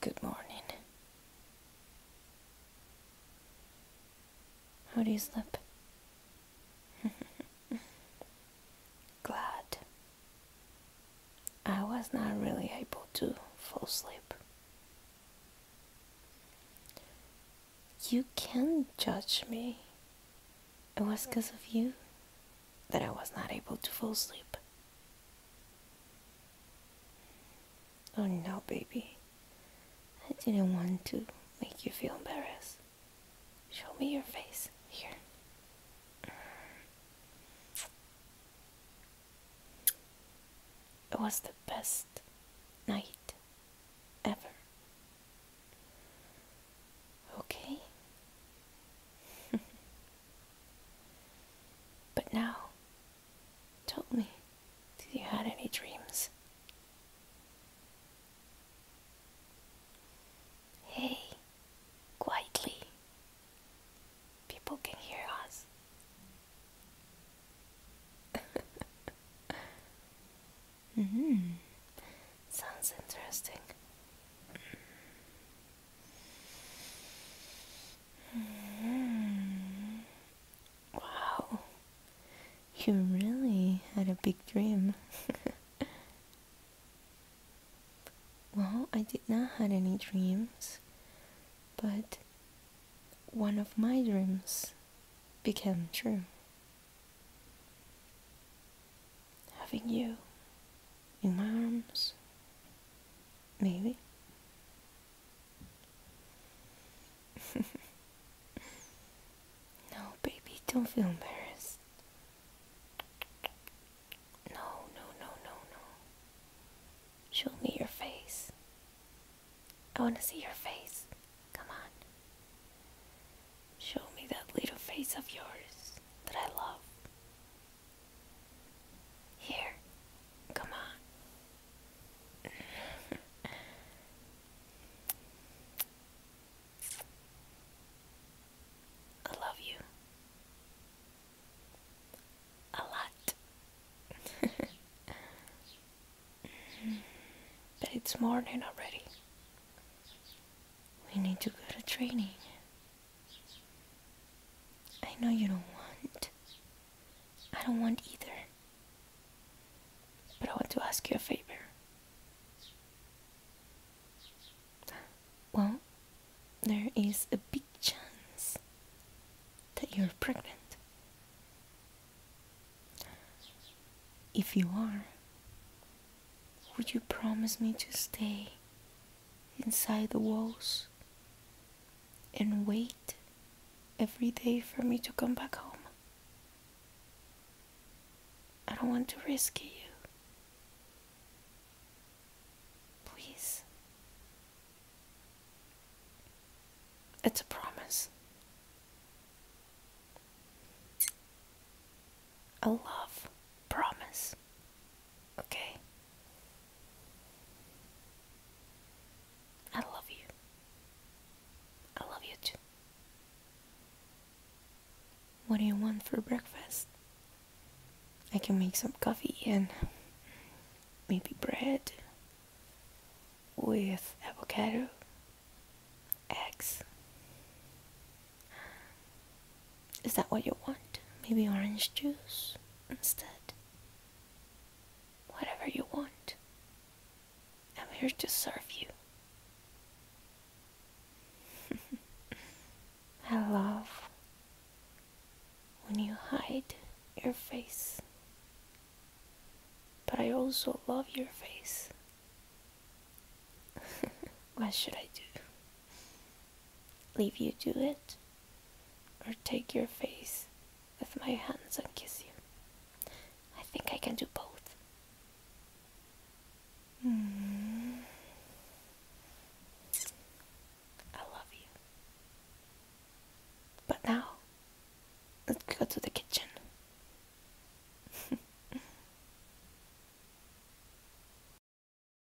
Good morning. How do you sleep? Glad. I was not really able to fall asleep. You can not judge me. It was because of you that I was not able to fall asleep. Oh no, baby. I didn't want to make you feel embarrassed. Show me your face. Here. It was the best night ever. Okay? but now, tell me, did you had any dreams? Hey, quietly people can hear us. -hmm. Sounds interesting. Mm-hmm. Wow, you really had a big dream. well, I did not had any dreams. But one of my dreams became true. Having you in my arms, maybe. no, baby, don't feel embarrassed. No, no, no, no, no. Show me your face. I want to see your face. Come on. Show me that little face of yours that I love. Here. Come on. I love you. A lot. but it's morning already. We need to go to training. I know you don't want. I don't want either. But I want to ask you a favor. Well, there is a big chance that you're pregnant. If you are, would you promise me to stay inside the walls and wait every day for me to come back home? I don't want to rescue you. Please. It's a promise. A love promise. Okay? I love you. I love you too. What do you want for breakfast? I can make some coffee and maybe bread with avocado, eggs. Is that what you want? Maybe orange juice instead? Whatever you want, I'm here to serve you. I love when you hide your face, but I also love your face. what should I do? leave you do it, or take your face with my hands and kiss you. I think I can do both. Hmm. I love you. But now, let's go to the kitchen.